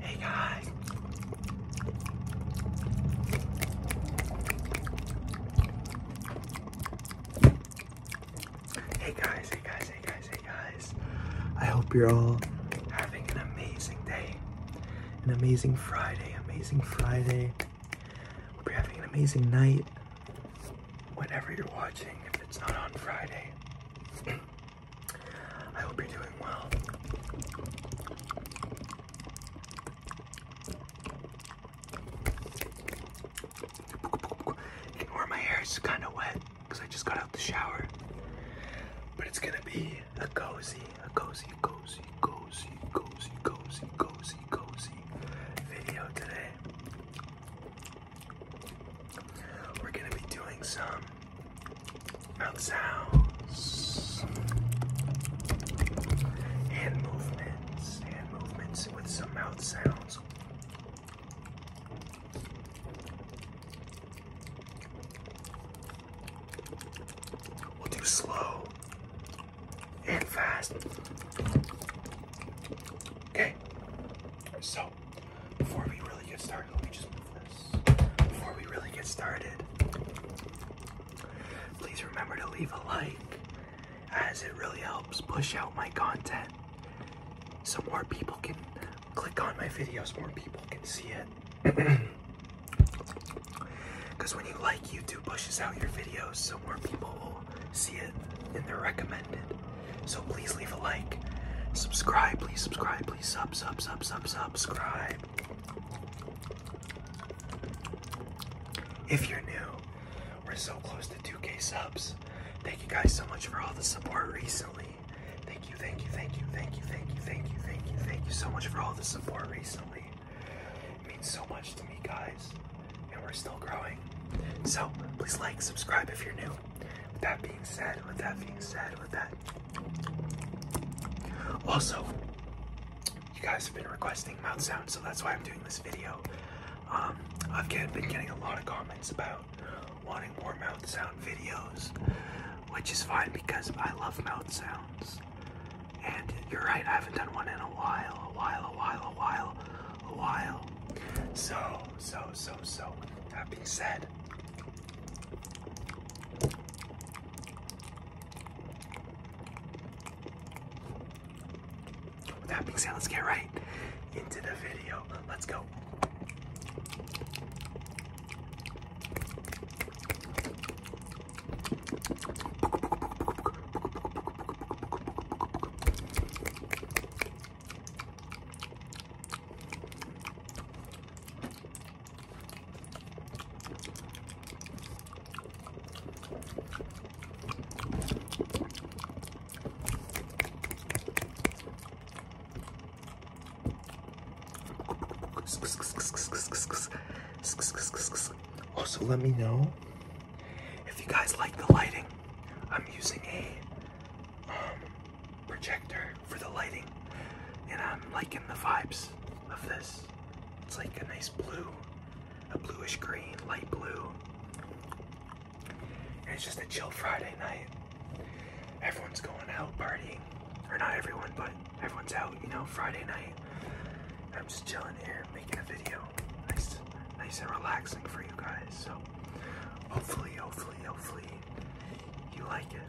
Hey guys. Hey guys, hey guys, hey guys, I hope you're all having an amazing day. An amazing Friday, amazing Friday. we you're having an amazing night. Whenever you're watching, if it's not on Friday. I hope you're doing well. You my hair, it's kind of wet because I just got out the shower. But it's gonna be a cozy, a cozy, cozy, cozy, cozy, cozy, cozy, cozy video today. We're gonna be doing some Mouth sounds and movements, hand movements with some mouth sounds. We'll do slow and fast. Okay, so before we really get started, let me just before we really get started, please remember to leave a like as it really helps push out my content so more people can click on my videos, more people can see it. Because when you like, YouTube pushes out your videos so more people will see it in their recommended. So please leave a like. Subscribe, please subscribe, please sub, sub, sub, sub, subscribe. If you're new, we're so close to 2K subs. Thank you guys so much for all the support recently. Thank you, thank you, thank you, thank you, thank you, thank you, thank you, thank you so much for all the support recently. It means so much to me, guys, and we're still growing. So please like, subscribe if you're new. With that being said, with that being said, with that also, you guys have been requesting mouth sounds, so that's why I'm doing this video. Um, I've been getting a lot of comments about wanting more mouth sound videos, which is fine because I love mouth sounds. And you're right, I haven't done one in a while, a while, a while, a while, a while. So, so, so, so, that being said, with that being said, let's get right into the video. Let's go. Also, let me know if you guys like the lighting. I'm using a um, projector for the lighting, and I'm liking the vibes of this. It's like a nice blue, a bluish green, light blue. And it's just a chill Friday night. Everyone's going out partying. Or not everyone, but everyone's out, you know, Friday night. I'm just chilling here, making a video. Nice, nice and relaxing for you guys. So hopefully, hopefully, hopefully you like it.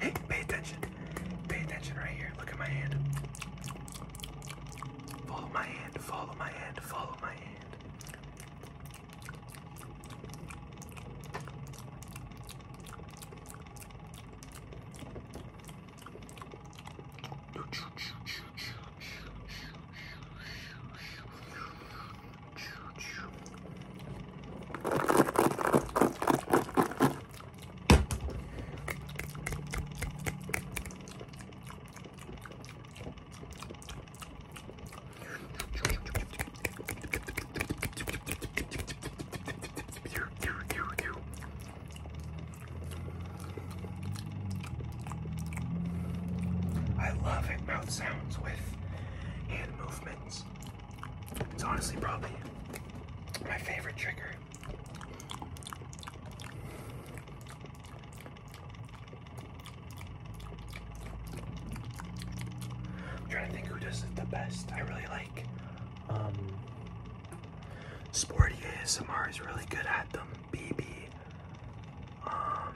Hey, pay attention. Pay attention right here. Look at my hand. Follow my hand. Follow my hand. Follow my hand. I love it, mouth sounds with hand movements. It's honestly probably my favorite trigger. I'm trying to think who does it the best. I really like um Sporty ASMR is really good at them. BB. Um,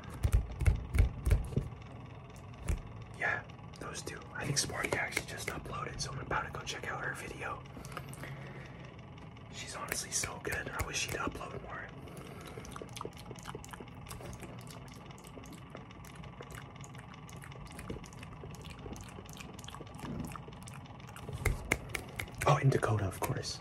yeah, those two. I think Sporty actually just uploaded, so I'm about to go check out her video. She's honestly so good. I wish she'd upload more. Oh, in Dakota, of course.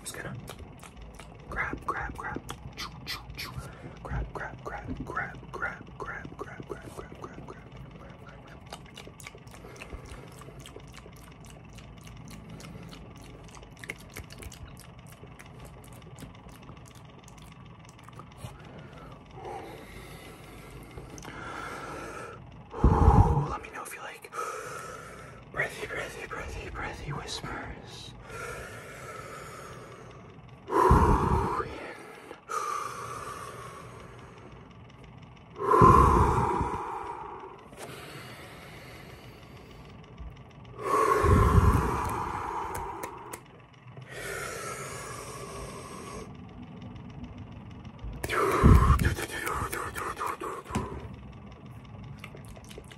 just gonna Grab, grab, grab. Choo, choo, choo. Grab, grab, grab, grab, grab, grab, grab, grab, grab, grab, grab. Let me know if you like breathy, breathy, breathy, breathy whispers.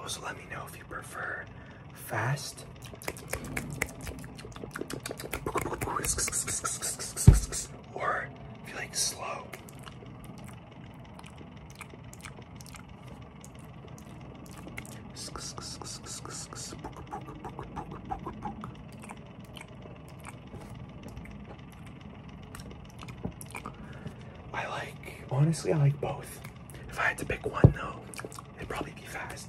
Also, let me know if you prefer fast or if you like slow. I like, honestly, I like both. If I had to pick one though, it'd probably be fast.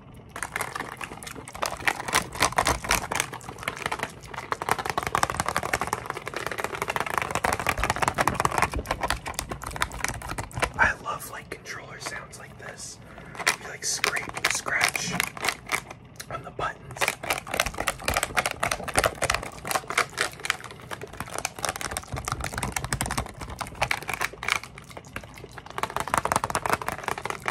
I love like controller sounds like this. like scrape scratch on the buttons.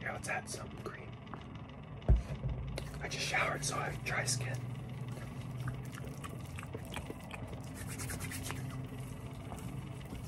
Here, let's add some cream. I just showered, so I have dry skin.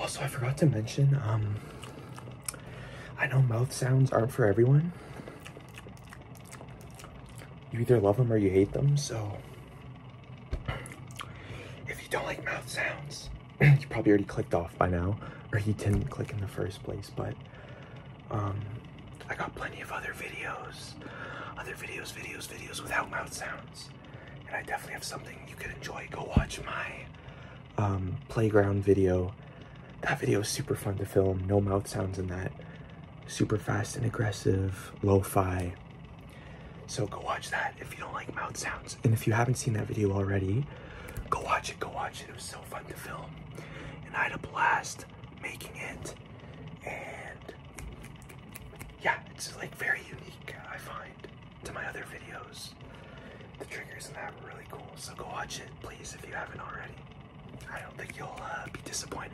Also, I forgot to mention, um, I know mouth sounds aren't for everyone, you either love them or you hate them. So, if you don't like mouth sounds, you probably already clicked off by now, or you didn't click in the first place. But, um, I got plenty of other videos, other videos, videos, videos without mouth sounds, and I definitely have something you could enjoy. Go watch my um, playground video. That video is super fun to film. No mouth sounds in that. Super fast and aggressive, lo-fi. So go watch that if you don't like mouth sounds. And if you haven't seen that video already, go watch it, go watch it. It was so fun to film. And I had a blast making it. And yeah, it's like very unique, I find, to my other videos the triggers in that were really cool. So go watch it, please, if you haven't already. I don't think you'll uh, be disappointed.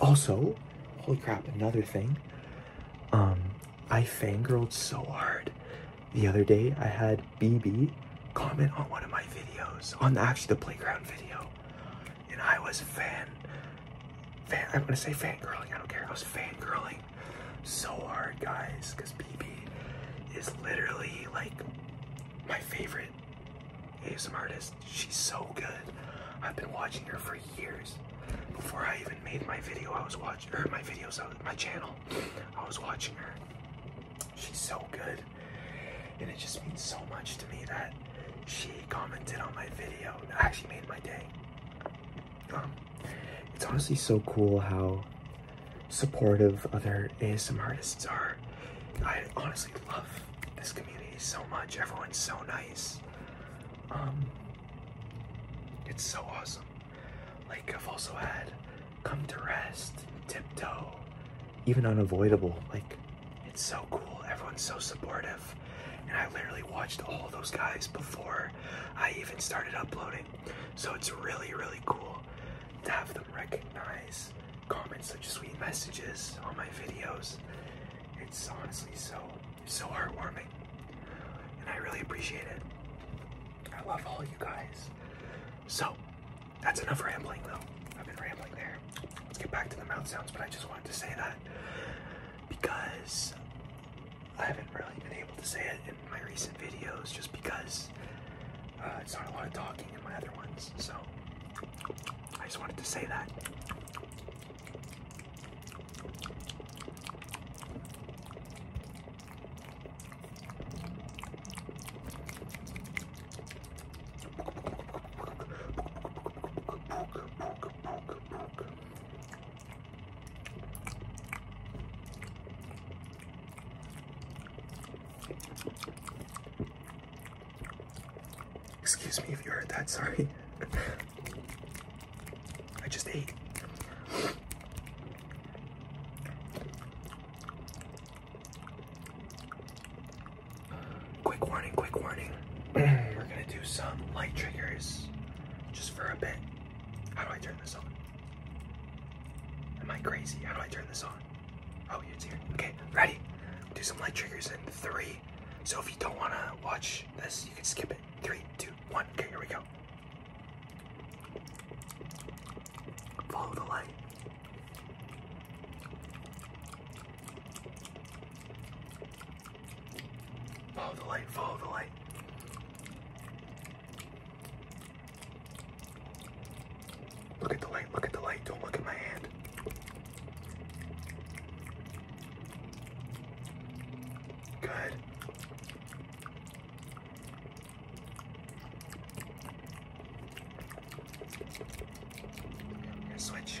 Also, holy crap, another thing. Um, I fangirled so hard the other day. I had BB comment on one of my videos, on actually the playground video, and I was fan, fan I'm gonna say fangirling. I don't care. I was fangirling so hard, guys, because BB is literally like my favorite ASM artist. She's so good. I've been watching her for years. Before I even made my video, I was watching her, my videos, uh, my channel, I was watching her. She's so good. And it just means so much to me that she commented on my video actually made my day it's honestly so cool how supportive other ASM artists are. I honestly love this community so much. Everyone's so nice. Um, it's so awesome. Like, I've also had Come to Rest, Tiptoe, even Unavoidable. Like, it's so cool. Everyone's so supportive. And I literally watched all those guys before I even started uploading. So it's really, really cool to have them recognize comment such sweet messages on my videos. It's honestly so, so heartwarming. And I really appreciate it. I love all you guys. So, that's enough rambling though. I've been rambling there. Let's get back to the mouth sounds, but I just wanted to say that because I haven't really been able to say it in my recent videos just because uh, it's not a lot of talking in my other ones. So I just wanted to say that. Excuse me if you heard that, sorry. I just ate. Quick warning, quick warning. We're gonna do some light triggers just for a bit. How do I turn this on? Am I crazy? How do I turn this on? Oh, it's here. Okay, ready? Do some light triggers in three. So if you don't want to watch this, you can skip it. Three, two, one. Okay, here we go. Follow the light. Follow the light, follow the light. Look at the light, look at the light. Don't look at my hand. Good. switch.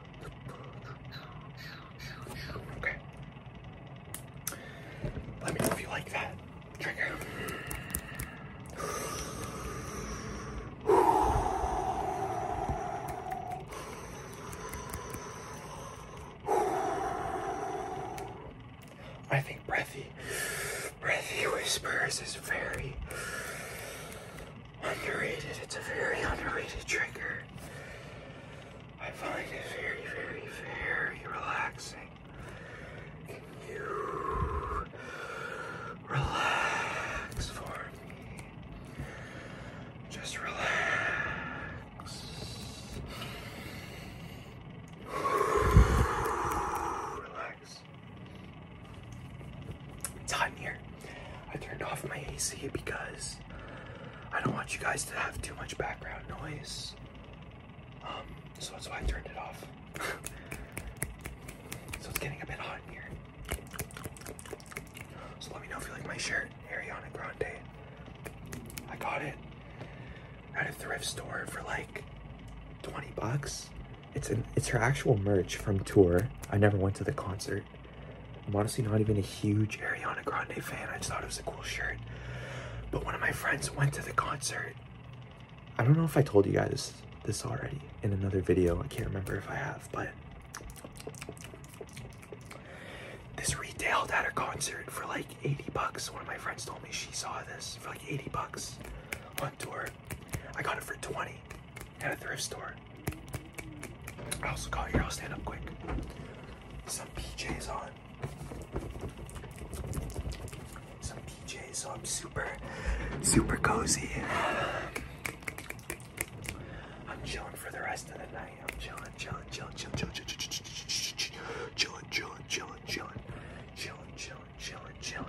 Okay. Let me know if you like that trigger. I think breathy, breathy whispers is very Underrated. It's a very underrated trigger. I find it very, very, very relaxing. Can you relax for me? Just relax. Relax. It's hot in here. I turned off my AC because I don't want you guys to have too much background noise. Um, so that's why I turned it off. so it's getting a bit hot here. So let me know if you like my shirt, Ariana Grande. I got it at a thrift store for like 20 bucks. It's an it's her actual merch from tour. I never went to the concert. I'm honestly not even a huge Ariana Grande fan. I just thought it was a cool shirt. But one of my friends went to the concert. I don't know if I told you guys this already in another video. I can't remember if I have, but this retailed at a concert for like 80 bucks. One of my friends told me she saw this for like 80 bucks on tour. I got it for 20 at a thrift store. I also got here, I'll stand up quick. Some PJs on. Some PJs, so I'm super, super cozy. I'm chilling for the rest of the night. I'm chilling, chilling, chilling, chilling, chilling, chilling, chilling, chilling, chilling, chilling, chilling, chilling, chilling, chilling.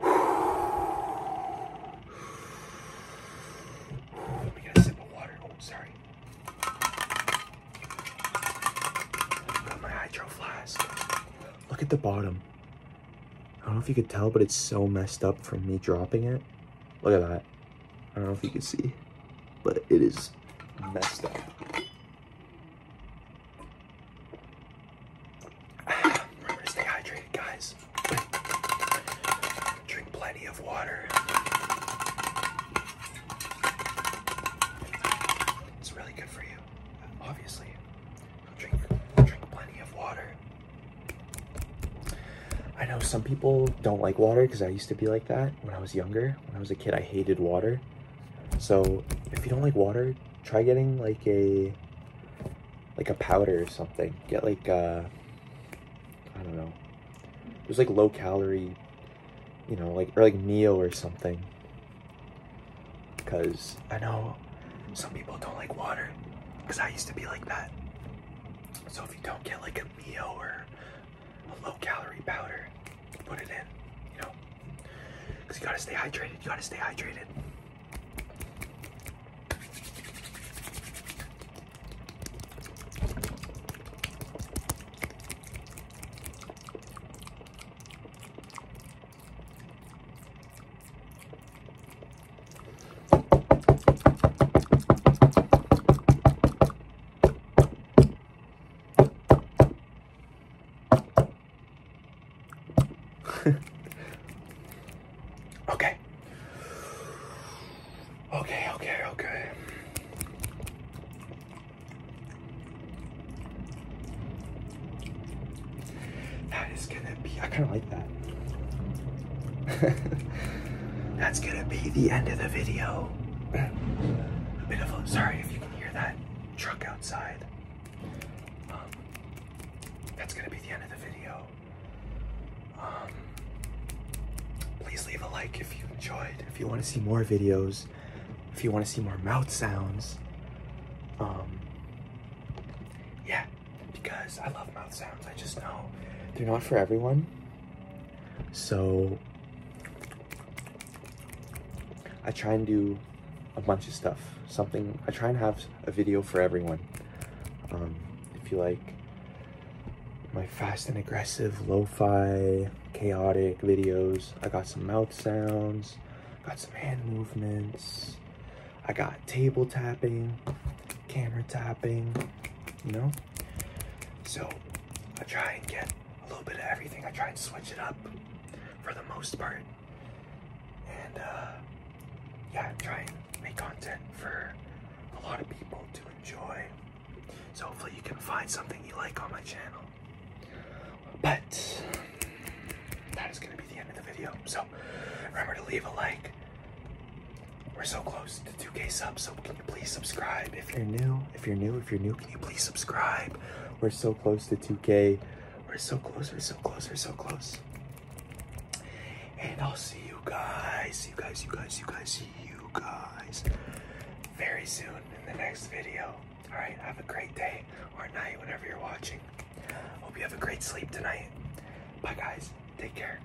Let me get a sip of water. Oh, sorry. Got my hydro flask. Look at the bottom. I don't know if you could tell, but it's so messed up from me dropping it. Look at that. I don't know if you can see, but it is messed up. Remember to stay hydrated, guys. Drink plenty of water. It's really good for you, obviously. Drink, drink plenty of water. I know some people don't like water because I used to be like that when I was younger. When I was a kid, I hated water. So if you don't like water, try getting like a like a powder or something. Get like uh I don't know. There's like low calorie, you know, like or like meal or something. Cause I know some people don't like water. Cause I used to be like that. So if you don't get like a or a low calorie powder. Put it in, you know, because you gotta stay hydrated. You gotta stay hydrated. okay. Okay, okay, okay. That is gonna be, I kind of like that. That's gonna be the end of the video. sorry if you can hear that truck outside. Um, that's gonna be the end of the video. Um, please leave a like if you enjoyed. If you want to see more videos, if you want to see more mouth sounds, um, yeah, because I love mouth sounds. I just know they're not for everyone. So I try and do a bunch of stuff. Something, I try and have a video for everyone. Um, if you like my fast and aggressive, lo-fi, chaotic videos, I got some mouth sounds, got some hand movements, I got table tapping, camera tapping, you know? So I try and get a little bit of everything. I try and switch it up for the most part. And uh, yeah, try and make content for a lot of people to enjoy. So hopefully you can find something you like on my channel. But that is going to be the end of the video. So remember to leave a like. We're so close to 2K subs, so can you please subscribe if you're new? If you're new, if you're new, can you please subscribe? We're so close to 2K. We're so close, we're so close, we're so close. And I'll see you guys, you guys, you guys, you guys, you guys very soon in the next video. All right, have a great day or night whenever you're watching. Hope you have a great sleep tonight. Bye guys, take care.